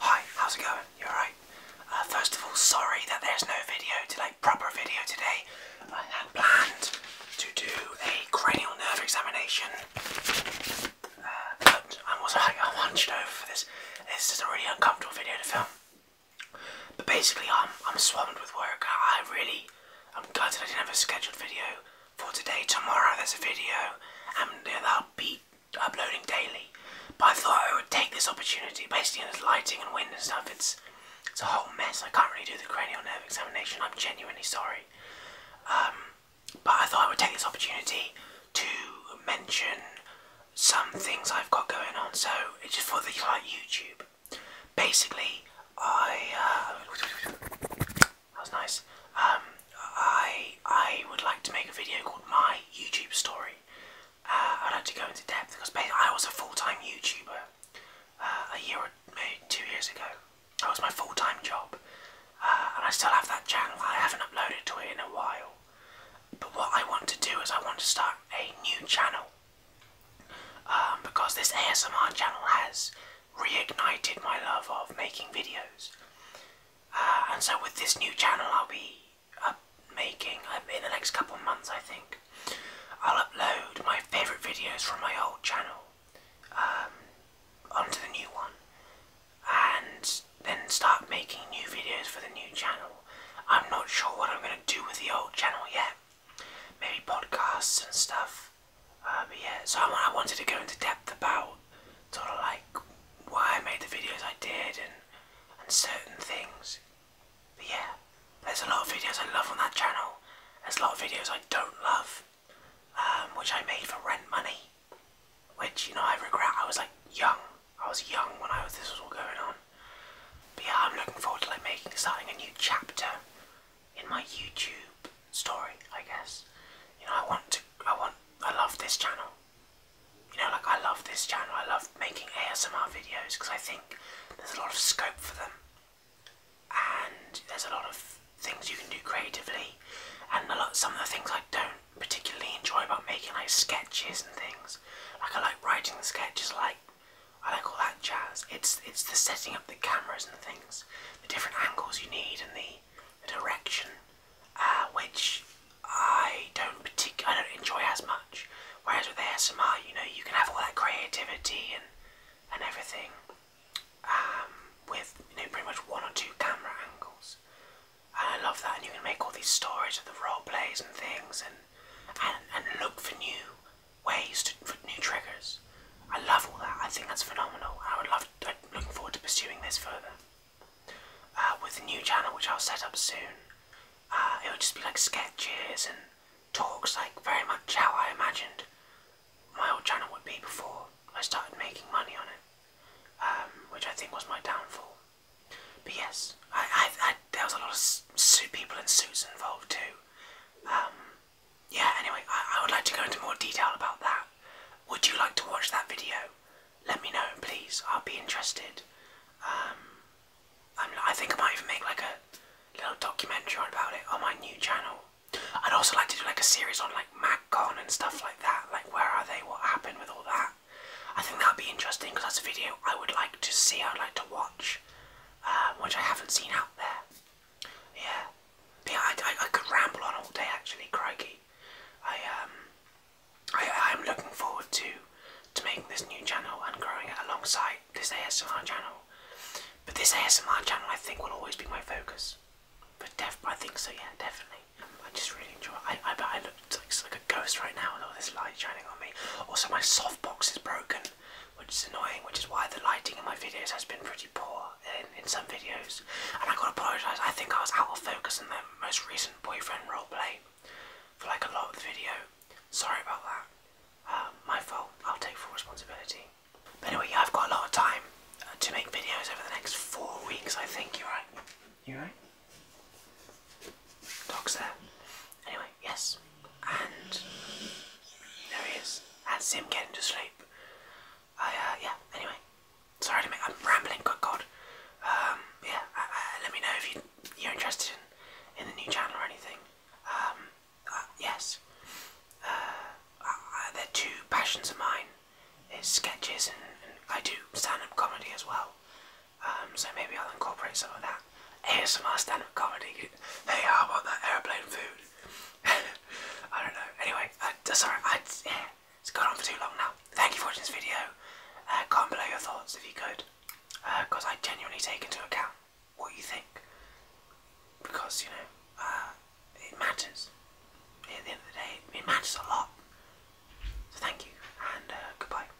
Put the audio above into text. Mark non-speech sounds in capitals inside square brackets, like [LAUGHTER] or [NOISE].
Hi, how's it going? You are right. Uh, first of all, sorry that there's no video today, proper video today. I had planned to do a cranial nerve examination, uh, but I was like, hunched over for this. This is a really uncomfortable video to film. But basically, I'm, I'm swamped with work. I really, I'm gutted I didn't have a scheduled video for today. Tomorrow there's a video, and yeah, that'll be uploading daily. But I thought I would take this opportunity, basically on this lighting and wind and stuff, it's it's a whole mess. I can't really do the cranial nerve examination, I'm genuinely sorry. Um, but I thought I would take this opportunity to mention some things I've got going on, so it's just for the like YouTube. Basically, I uh, that was nice. Um, I I would like to make a video called my YouTube story. Uh, I'd like to go into depth because I was a full-time YouTuber uh, a year or two years ago. That was my full-time job, uh, and I still have that channel. I haven't uploaded to it in a while. But what I want to do is I want to start a new channel um, because this ASMR channel has reignited my love of making videos. Ah, and so with this new channel I'll be making uh, in the next couple months I think I'll upload my favourite videos from my old channel um, onto the new one and then start making new videos for the new channel. I'm not sure what I'm going to do with the old channel yet. Maybe podcasts and stuff. Um, yeah, so I, wanted to go into depth about sort of like why I made the videos I did and and certain things. But yeah, there's a lot of videos I love on that channel. There's a lot of videos I don't love, um, which I made for rent money. Which you know I regret. I was like young. I was young when I was this was all going on. But yeah, I'm looking forward to like making starting a new chapter in my YouTube story, I guess. You know, I want to, I want, I love this channel. You know, like I love this channel. I love making ASMR videos because I think there's a lot of scope for them, and there's a lot of things you can do creatively, and a lot some of the things I don't particularly enjoy about making like sketches and things. Like I like writing sketches, like I like all that jazz. It's it's the setting up the cameras and things the different angles you need and the, direction, uh, which I don't partic- I don't enjoy as much. Whereas with the ASMR, you know, you can have all that creativity and and everything um, with you know pretty much one or two camera angles. And I love that, and you can make all these stories of the role plays and things, and and, and look for new ways to, for new triggers. I love all that. I think that's phenomenal. I would love. I'm looking forward to pursuing this further uh, with a new channel which I'll set up soon. Uh, it would just be like sketches and talks, like very much how I imagined my old channel would be before I started making money on it, um, which I think was my downfall. But yes, I, I, there was a lot of people in suits involved too. Um, yeah, anyway, I, would like to go into more detail about that. Would you like to watch that video? Let me know, please. I'll be interested. Um, i think I might even make like a little documentary about it on my new channel. I'd also like to do like a series on like MagCon and stuff like that. Like where are they? What happened with all that? I think that'd be interesting because that's a video I would like to see. I'd like to watch, uh, which I haven't seen out there. Yeah. Yeah, I, I, could ramble on all day actually, crikey. I um I am looking forward to to making this new channel and growing it alongside this ASMR channel. But this ASMR channel I think will always be my focus. But def I think so yeah, definitely. Um, I just really enjoy it. I I bet I look like, like a ghost right now with all this light shining on me. Also my softbox is broken which is annoying, which is why the lighting in my videos has been pretty poor in, some videos. And I gotta apologise, I think I was out of focus in the most recent boyfriend role play for like a lot of the video. Sorry about that. Um, my fault, I'll take full responsibility. But anyway, I've got a lot of time uh, to make videos over the next four weeks, I think. You are right? You right? Dog's there. Anyway, yes. And there he is. That's him getting to sleep. I, uh, yeah, anyway. Sorry to I'm rambling, good God. Um, yeah, let me know if you, you're interested in, in the new channel or anything. Um, uh, yes. Uh, are two passions of mine. It's sketches and I do stand-up comedy as well. Um, so maybe I'll incorporate some of that ASMR stand-up comedy. Hey, how about that airplane food? [LAUGHS] I don't know. Anyway, uh, sorry, it's gone on for too long now. Thank you for watching this video. Uh, comment below your thoughts if you could, because uh, I genuinely take into account what you think, because you know it matters. At the end of the day, it matters a lot. So thank you and goodbye.